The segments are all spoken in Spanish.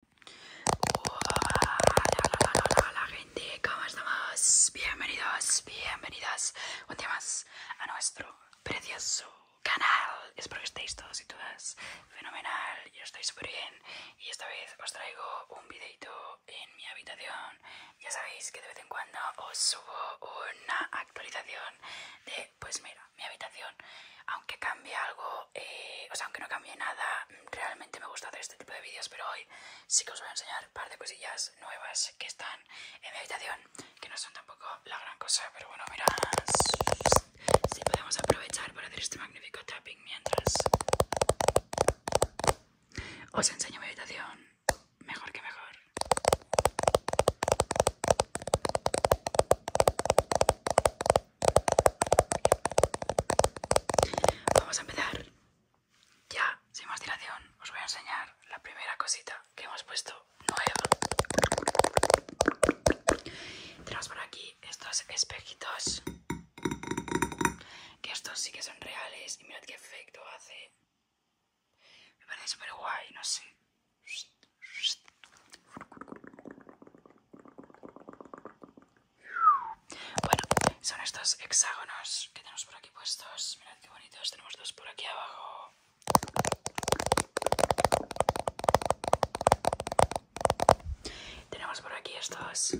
Hola, hola, hola, hola, gente, ¿cómo estamos? Bienvenidos, bienvenidas un día más a nuestro precioso canal. Espero que estéis todos y todas fenomenal. Yo estoy súper bien y esta vez os traigo un videito en mi habitación. Ya sabéis que de vez en cuando os subo una actualización de, pues mira, mi habitación. Aunque cambie algo, eh, o sea, aunque no cambie nada, realmente me gusta hacer este tipo de vídeos, pero hoy sí que os voy a enseñar un par de cosillas nuevas que están en mi habitación, que no son tampoco la gran cosa, pero bueno, mirad si podemos aprovechar para hacer este magnífico tapping mientras os enseño mi habitación, mejor que mejor. Vamos a empezar. Ya, sin más dilación, os voy a enseñar la primera cosita que hemos puesto nuevo. Tenemos por aquí estos espejitos. Que estos sí que son reales y mirad qué efecto hace. Me parece súper guay, no sé. Bueno, son estos hexágonos que tenemos por aquí puestos. Mirad qué bonitos, tenemos dos por aquí abajo. Tenemos por aquí estos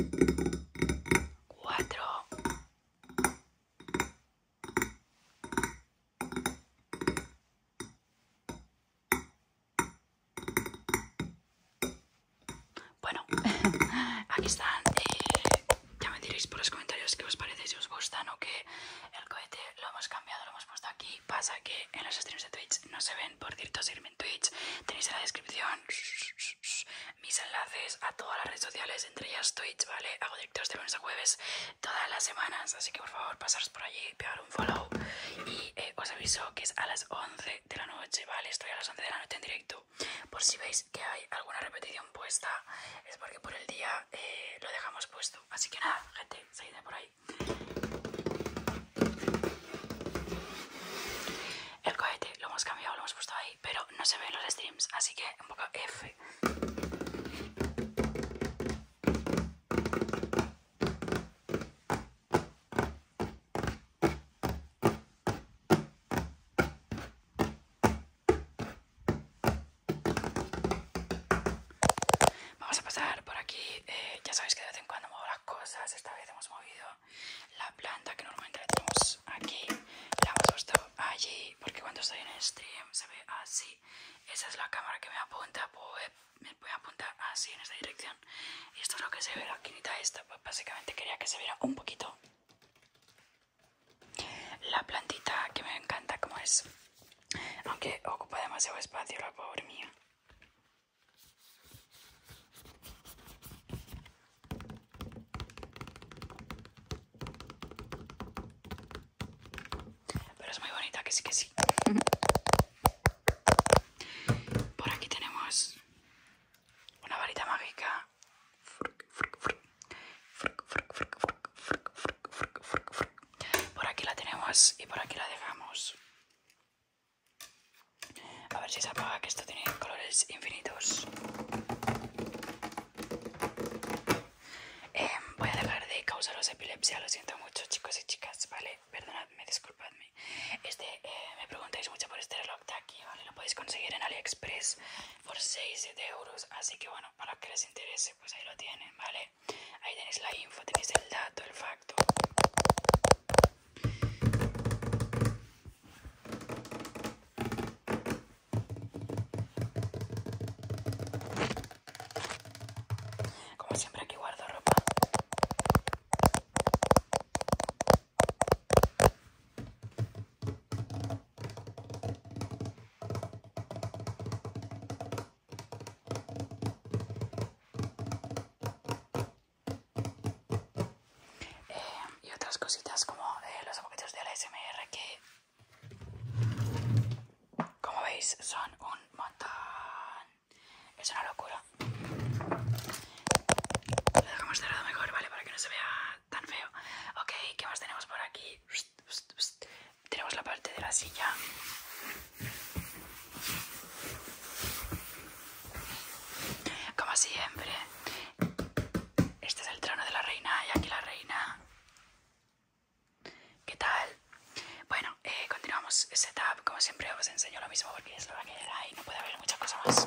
cuatro. Bueno, aquí están. ya me diréis por los comentarios qué os parece, si os gustan o que el cohete lo hemos cambiado, lo hemos puesto aquí. Pasa que en los streams de Twitch no se ven, por cierto, seguirme en Twitch. Tenéis en la descripción mis enlaces a todas las redes sociales, entre ellas Twitch, ¿vale? Hago directos de lunes a jueves todas las semanas, así que por favor pasaros por allí, pegar un follow y eh, os aviso que es a las 11 de la noche, ¿vale? Estoy a las 11 de la noche en directo. Por si veis que hay alguna repetición puesta, es porque por el día eh, lo dejamos puesto. Así que nada, gente, seguidme por ahí. El cohete lo hemos cambiado, lo hemos puesto ahí, pero no se ven los streams, así que un poco F. Vamos a pasar por aquí. Eh, ya sabéis que de vez en cuando muevo las cosas. Esta vez hemos movido la planta que normalmente la tenemos aquí. La hemos puesto allí porque cuando estoy en stream se ve así. Esa es la cámara que me apunta. Pues, me voy apuntar así en esta dirección. Y esto es lo que se ve, la quinita esta. Pues básicamente quería que se viera un poquito la plantita que me encanta como es. Aunque ocupa demasiado espacio la pobre mía. Pero es muy bonita, que sí que sí. Por aquí tenemos una varita mágica. Por aquí la tenemos y por aquí la dejamos. A ver si se apaga que esto tiene colores infinitos. Em, voy a dejar de causaros epilepsia, lo siento mucho chicos y chicas, ¿vale? Perdonadme, disculpadme. Este, eh, me preguntáis mucho por este reloj de aquí, ¿vale? Lo podéis conseguir en AliExpress por 6-7 euros. Así que bueno, para que les interese, pues ahí lo tienen, ¿vale? Ahí tenéis la info, tenéis el dato, el facto. Como siempre aquí guardo ropa. Eh, y otras cositas como eh, los apoquitos de la SMR que como veis son un montón Es una locura. Lo dejamos cerrado mejor, ¿vale? Para que no se vea tan feo. Ok, ¿qué más tenemos por aquí? Tenemos la parte de la silla. Como siempre. Este es el trono de la reina y aquí la reina. ¿Qué tal? Bueno, eh, continuamos. continuamos setup. Como siempre os enseño lo mismo que eso va a quedar ahí, no puede haber muchas cosas más.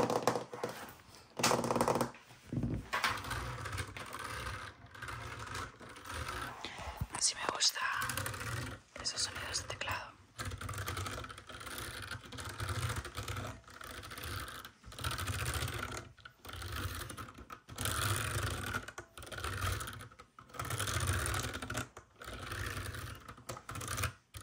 Así me gusta esos sonidos de teclado. Wow,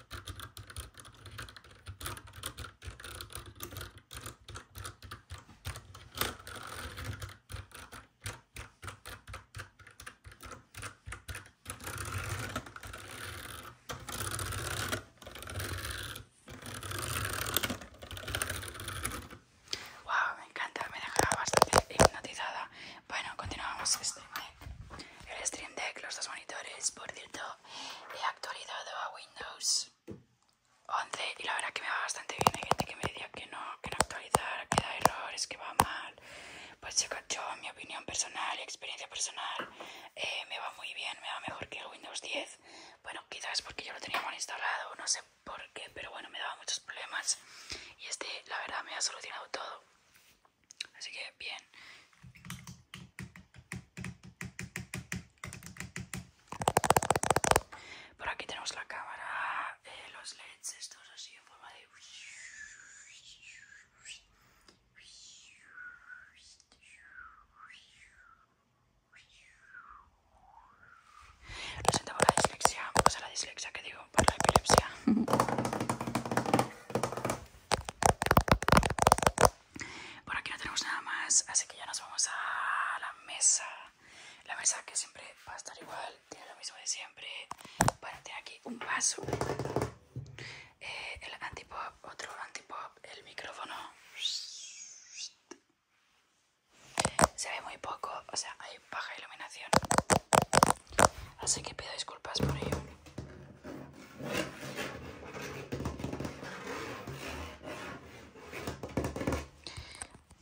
me encanta, me dejaba bastante hipnotizada. Bueno, continuamos este el stream deck, los dos monitores, por cierto, he actualizado a Windows 11 y la verdad que me va bastante bien. Hay gente que me decía que no, que no actualizar, que da errores, que va mal. Pues yo, mi opinión personal y experiencia personal, eh, me va muy bien, me va mejor que el Windows 10. Bueno, quizás porque yo lo tenía mal instalado, no sé por qué, pero bueno, me daba muchos problemas y este, la verdad, me ha solucionado todo. Así que bien. Por aquí tenemos la cámara, eh, los LEDs, estos así en forma de... Lo siento por la dislexia, o sea la dislexia que digo, por la epilepsia. Por aquí no tenemos nada más, así que ya nos vamos a la mesa. La mesa que siempre va a estar igual, tiene lo mismo de siempre. Bueno, tiene aquí un vaso, eh, el antipop, otro antipop, el micrófono. Se ve muy poco, o sea, hay baja iluminación. Así que pido disculpas por ello.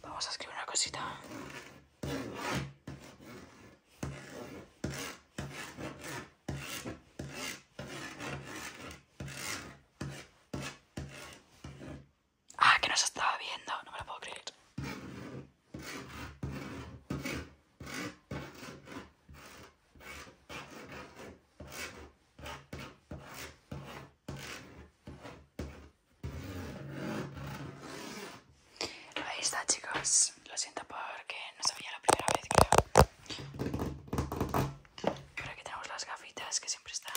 Vamos a escribir una cosita. Ah, que nos estaba viendo, no me lo puedo creer. Ahí está, chicos. Lo siento porque no sabía la primera vez, creo. Pero aquí tenemos las gafitas que siempre están.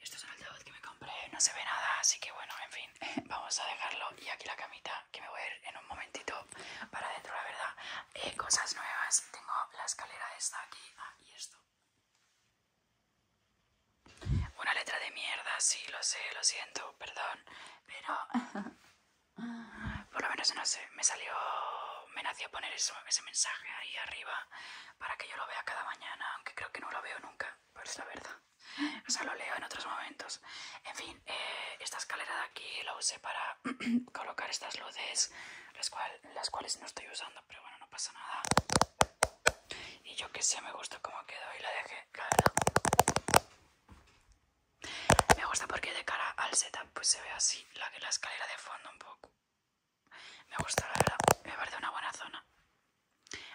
Esto es un altavoz que me compré, no se ve nada, así que bueno, en fin, vamos a dejarlo. Y aquí la camita, que me voy a ir en un momentito para adentro, la verdad. Eh, cosas nuevas, tengo la escalera esta aquí, ah, y esto. Una letra de mierda, sí, lo sé, lo siento, perdón, pero... Por lo menos, no sé, me salió... Me nació poner eso, ese mensaje ahí arriba para que yo lo vea cada mañana, aunque creo que no lo veo nunca, pero es la verdad. O sea, lo leo en otros momentos. En fin, eh, esta escalera de aquí la usé para colocar estas luces, las, las cuales no estoy usando, pero bueno, no pasa nada. Y yo que sé, me gusta cómo quedó y la dejé, la Me gusta porque de cara al setup pues se ve así la, la escalera de fondo un poco. Me gusta, la verdad. Me parece una buena zona.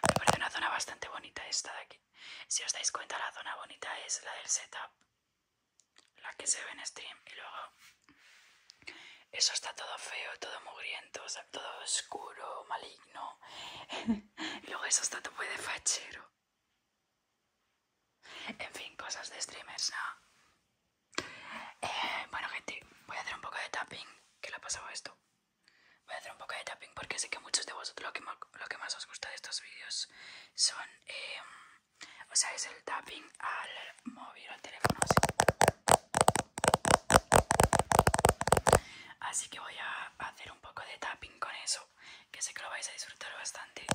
Me parece una zona bastante bonita esta de aquí. Si os dais cuenta, la zona bonita es la del setup. La que se ve en stream. Y luego... Eso está todo feo, todo mugriento, todo oscuro, maligno. y luego eso está todo de fachero. En fin, cosas de streamers, ¿no? Eh, bueno gente, voy a hacer un poco de tapping. Que le ha pasado esto? Voy a hacer un poco de tapping porque sé que muchos de vosotros lo que más, lo que más os gusta de estos vídeos son... Em, o sea, es el tapping al móvil, o al teléfono. así que voy a hacer un poco de tapping con eso, que sé que lo vais a disfrutar bastante.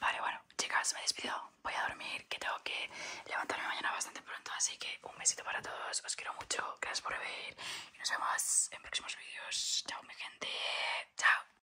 Vale, bueno, chicas, me despido. Voy a dormir, que tengo que levantarme mañana bastante pronto. Así que un besito para todos. Os quiero mucho. Gracias por ver. Y nos vemos en próximos vídeos. Chao, mi gente. Chao.